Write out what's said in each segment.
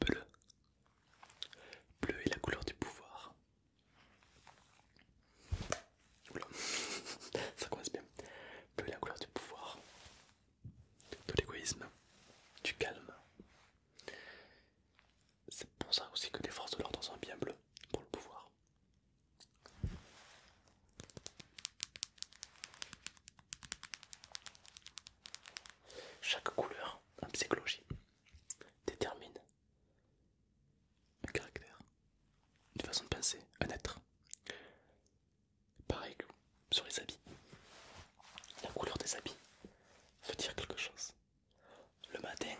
Bleu. Bleu est la couleur du pouvoir. ça commence bien. Bleu est la couleur du pouvoir, de l'égoïsme, du calme. C'est pour ça aussi que les forces de l'ordre sont bien bleues, pour le pouvoir. Chaque couleur en psychologie détermine un caractère, une façon de penser, un être. Pareil que sur les habits. La couleur des habits veut dire quelque chose. Le matin,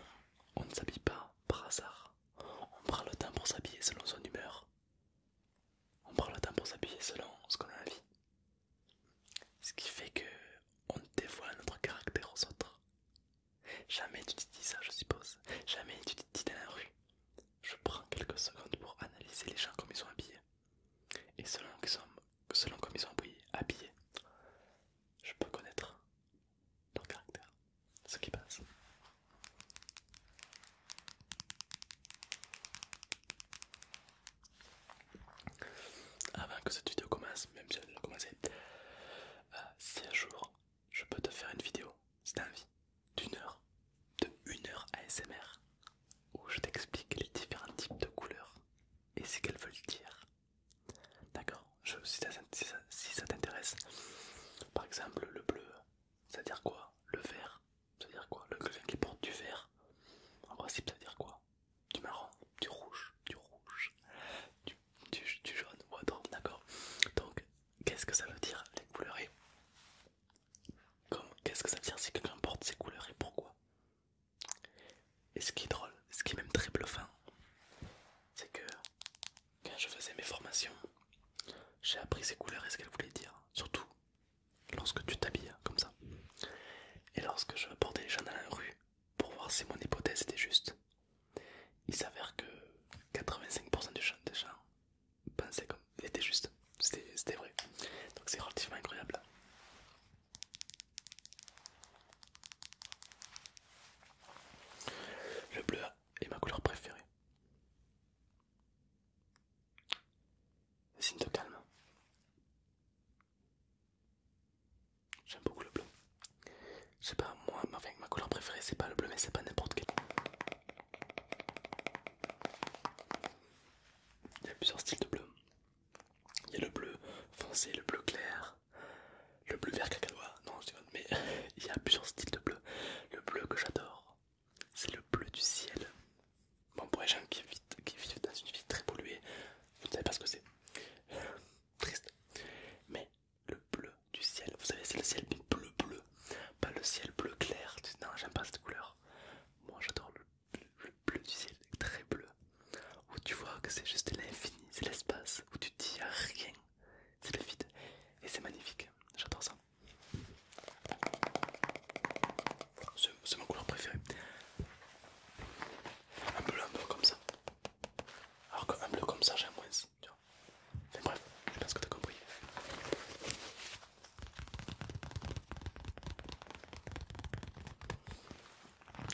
on ne s'habille pas par hasard. On prend le temps pour s'habiller selon son humeur on prend le temps pour s'habiller selon ce qu'on a envie. Ce qui fait que on dévoile notre caractère aux autres. Jamais tu te dis ça, je suppose. Jamais tu te dis dans la rue. Je prends quelques secondes pour analyser les gens comme ils sont habillés. Et selon, comment selon comme ils sont habillés, je peux connaître leur caractère, ce qui passe. Avant que cette vidéo commence, même si elle a commencé, euh, si un jour je peux te faire une vidéo, si t'as envie, d'une heure, de une heure ASMR, où je t'explique les différents types de couleurs et ce qu'elles veulent dire. D'accord si ça t'intéresse, par exemple le bleu, ça veut dire quoi Le vert, ça veut dire quoi Le quelqu'un qui porte du vert, en principe ça veut dire quoi Du marron, du rouge, du rouge, du, jaune ou autre, d'accord Donc qu'est-ce que ça veut dire les couleurs et qu'est-ce que ça veut dire si quelqu'un porte ces couleurs et pourquoi Et ce qui est drôle, ce qui est même très bluffant, c'est que quand je faisais mes formations, j'ai appris ces couleurs et ce qu'elles voulaient dire, surtout lorsque tu t'habilles comme ça. Et lorsque je portais les gens dans la rue pour voir si mon hypothèse était juste, il s'avère que 85% des gens pensaient comme était juste, c'était vrai. Donc c'est relativement incroyable. Le bleu est ma couleur préférée signe de calme. J'aime beaucoup le bleu. Je sais pas, moi, ma, couleur préférée c'est pas le bleu, mais c'est pas n'importe quel. Il y a plusieurs styles de bleu. Il y a le bleu foncé, le bleu clair, le bleu vert cacaois Non, je dis mais il y a plusieurs styles de bleu. Le bleu que j'adore c'est le bleu du ciel. Bon, pour les gens qui vivent, dans une vie très polluée, vous ne savez pas ce que c'est. Triste. Mais le bleu du ciel, vous savez, c'est le ciel bleu bleu, pas le ciel bleu clair. Non, j'aime pas cette couleur. Moi, j'adore le, bleu du ciel très bleu, où tu vois que c'est juste l'infini, c'est l'espace, où tu dis a rien, c'est le vide et c'est magnifique, j'adore ça. C'est ma couleur préférée. Un bleu, un bleu comme ça. Alors qu'un bleu comme ça, j'aime moins. bref, je pense que t'as compris.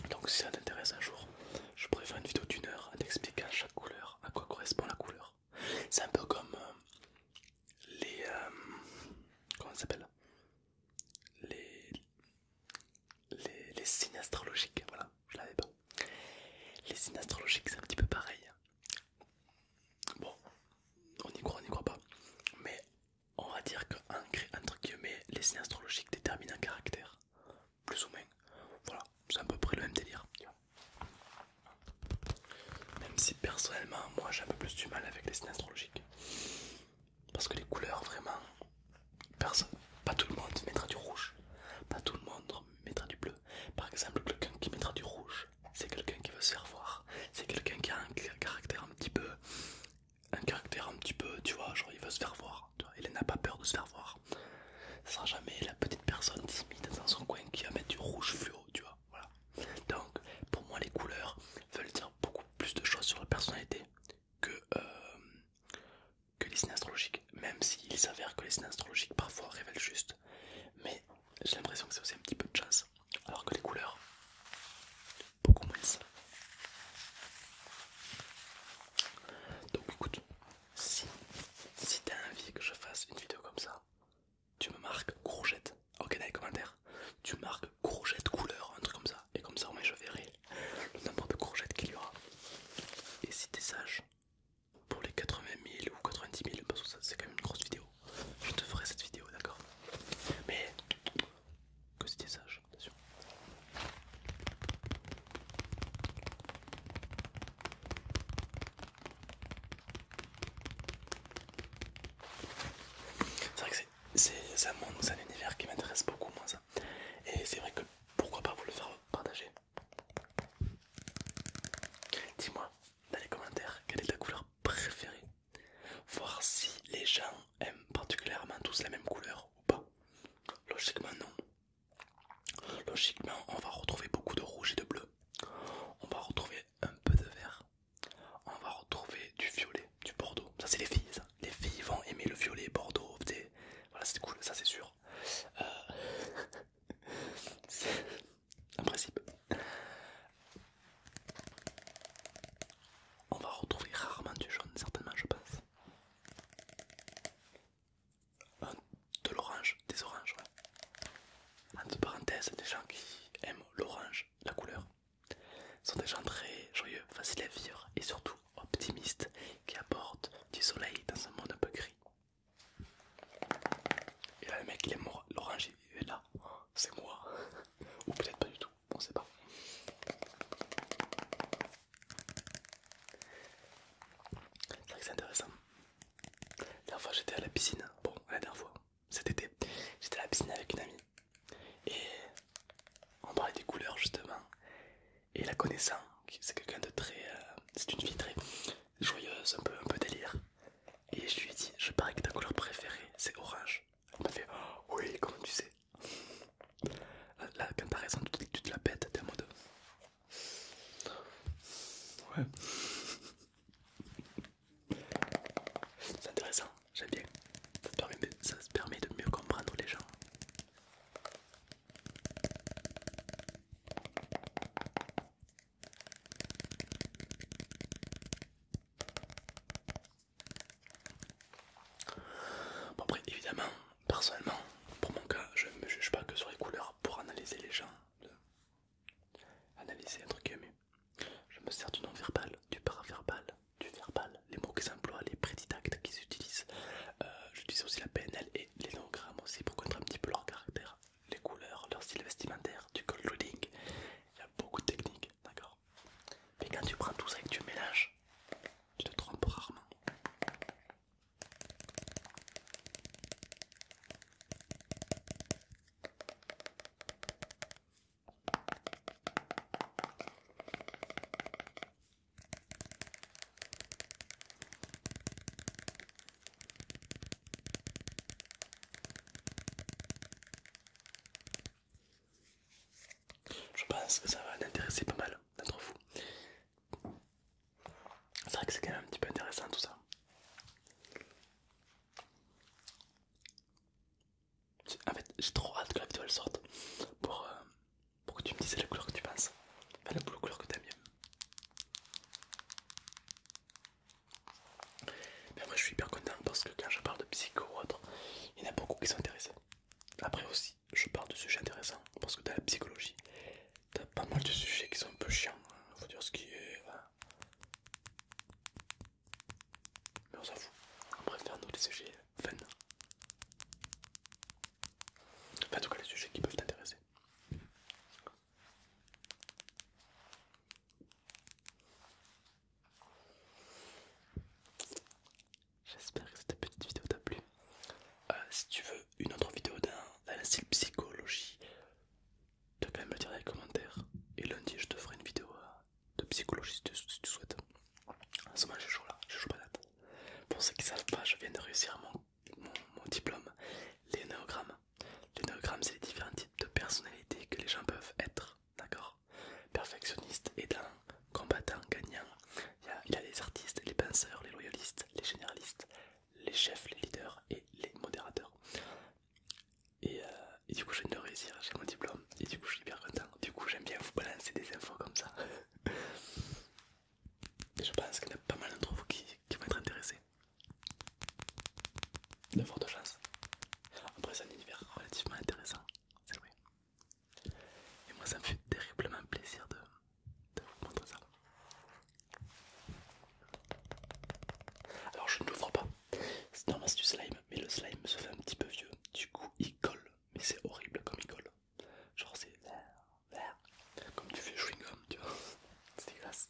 Donc si ça t'intéresse un jour, je pourrais faire une vidéo d'une heure en à chaque couleur, à quoi correspond la couleur. C'est un peu comme euh, les. Euh, comment ça s'appelle les, les, les signes astrologiques. Voilà, je l'avais pas. Les signes astrologiques, c'est un petit peu pareil. Bon, on y croit, on n'y croit pas. Mais on va dire que, entre guillemets, les signes astrologiques déterminent un caractère plus ou moins. Voilà, c'est à peu près le même délire. Même si personnellement, moi j'ai un peu plus du mal avec les signes astrologiques. Parce que les couleurs, vraiment, personne, pas tout le monde mettra du rouge. Pas tout le monde mettra du bleu. Par exemple, quelqu'un qui mettra du rouge, c'est quelqu'un qui veut se faire voir. C'est quelqu'un qui a un caractère un petit peu. Un caractère un petit peu, tu vois, genre il veut se faire voir. il n'a pas peur de se faire voir ça ne sera jamais la petite personne timide dans son coin qui va mettre du rouge fluo, tu vois. Donc, pour moi, les couleurs veulent dire beaucoup plus de choses sur la personnalité que, euh, que les signes astrologiques. Même s'il s'avère que les signes astrologiques parfois révèlent juste. Mais j'ai l'impression que c'est aussi un petit peu de chance. Alors que les couleurs, beaucoup moins. Donc écoute, si, si t'as envie que je fasse une vidéo comme ça, tu me marques courgette. Ok, dans les commentaires, tu marques courgette couleur, un truc comme ça. Et comme ça, au moins, je verrai le nombre de courgettes qu'il y aura. Et si t'es sage, pour les 80 000 ou 90 000, parce que c'est quand même une grosse vidéo, je te ferai cette vidéo, d'accord Mais que si t'es sage, attention. C'est vrai que c'est un monde, c'est un univers qui m'intéresse beaucoup moins Et c'est vrai que pourquoi pas vous le faire partager Dis-moi dans les commentaires quelle est ta couleur préférée. Voir si les gens aiment particulièrement tous la même couleur ou pas. Logiquement non, Logiquement, on va retrouver beaucoup de rouge et de bleu. On va retrouver un peu de vert. On va retrouver du violet, du bordeaux. Ça, c'est les filles. Les filles vont aimer le violet, bordeaux. Voilà, c'est cool, ça, c'est sûr. en euh, un principe. On va retrouver rarement du jaune, certainement, je pense. Euh, de l'orange, des oranges, ouais. Entre parenthèses, des gens qui aiment l'orange, la couleur, sont des gens très joyeux, faciles à vivre et surtout optimistes qui apportent du soleil dans un monde un peu gris. Et là, le mec, est l'orange, il est là, c'est moi, ou peut-être pas du tout, on sait pas. C'est vrai que c'est intéressant. La dernière fois j'étais à la piscine, bon la dernière fois, cet été, j'étais à la piscine avec une amie et on parlait des couleurs justement et la connaissant, c'est quelqu'un de très... Euh, c'est une fille très joyeuse, un peu, un peu délire et je lui ai dit, je parie que ta couleur préférée c'est orange. Elle m'a fait, oh, oui comment tu sais la comparaison quand t'as tu, te la pètes, t'es en mode. Ouais. C'est intéressant, j'aime bien. Ça permet, ça permet de mieux comprendre les gens. Bon après évidemment personnellement, pour mon cas, je ne me juge pas que sur les couleurs pour analyser les gens, analyser truc guillemets. Je me sers du non-verbal, du paraverbal, du verbal, les mots qu'ils emploient, les préditactes qu'ils utilisent. je euh, J'utilise aussi la PNL et l'énogramme aussi pour connaître un petit peu leur caractère, les couleurs, leur style vestimentaire, du cold Il y a beaucoup de techniques, d'accord Mais quand tu prends tout ça et que tu mélanges, je te trompe rarement. Je pense que ça va intéresser pas mal d'entre vous. C'est vrai que c'est quand même un petit peu intéressant tout ça. En fait, j'ai trop hâte que la vidéo sorte euh, pour, que tu me dises la couleur que tu penses. Enfin, la couleur que t'aimes bien Mais moi je suis hyper content parce que quand je parle de psycho ou autre, il y en a beaucoup qui sont intéressés. Après aussi, je parle de sujets intéressants parce que dans la psychologie, t'as pas mal de sujets qui sont un peu chiants, hein. faut dire ce qui est. Hein. Mais on s'en fout, on préfère nous les sujets fun. Enfin, en tout cas, les sujets qui peuvent t'intéresser. J'espère que cette petite vidéo t'a plu. Euh, si tu veux une autre vidéo d'un style psychologie, tu peux quand même le dire dans les commentaires. Et lundi, je te ferai une vidéo euh, de psychologie si tu, souhaites. En ce moment, je joue là, je joue pas là. Pour ceux qui savent pas, je viens de réussir mon, mon diplôme, les néogrammes. Les néogrammes, c'est les différents types de personnalités que les gens peuvent être, d'accord perfectionniste et combattant gagnant. Il y, a, les artistes, les penseurs, les loyalistes, les généralistes, les chefs, les leaders et les modérateurs. Et, euh, du coup, je viens de réussir, j'ai mon diplôme et du coup, je suis bien content. Du coup, j'aime bien vous balancer des infos comme ça. je pense qu'il y en a pas mal d'entre vous qui, vont être intéressés. De fortes chances. Après, c'est un univers relativement intéressant, c'est vrai. Et moi ça me fait terriblement plaisir de, vous montrer ça. Alors je ne l'ouvre pas, c'est normal c'est du slime, mais le slime se fait un petit peu vieux, du coup il colle, mais c'est horrible comme il colle. Genre c'est comme tu fais chewing gum, tu vois, c'est dégueulasse.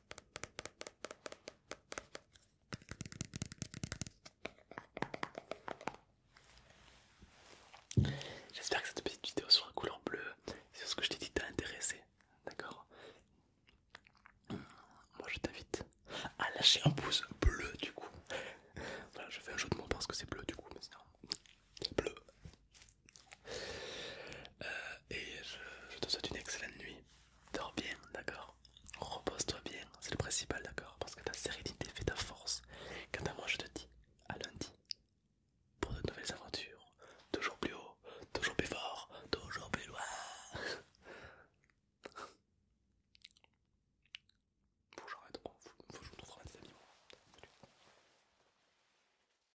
J'espère que cette petite vidéo sur la couleur bleu, sur ce que je t'ai dit, t'a intéressé. D'accord Moi je t'invite à lâcher un pouce bleu du coup. Voilà, je fais un jeu de mots parce que c'est bleu du coup, mais sinon. Bleu. Euh, et je, te souhaite une excellente nuit. Dors bien, d'accord Repose-toi bien, c'est le principal, d'accord Parce que ta sérénité fait ta force. Quant à moi, je te dis à lundi pour de nouvelles aventures. Toujours plus haut, toujours plus fort, toujours plus loin. Faut que j'arrête, faut que je trouve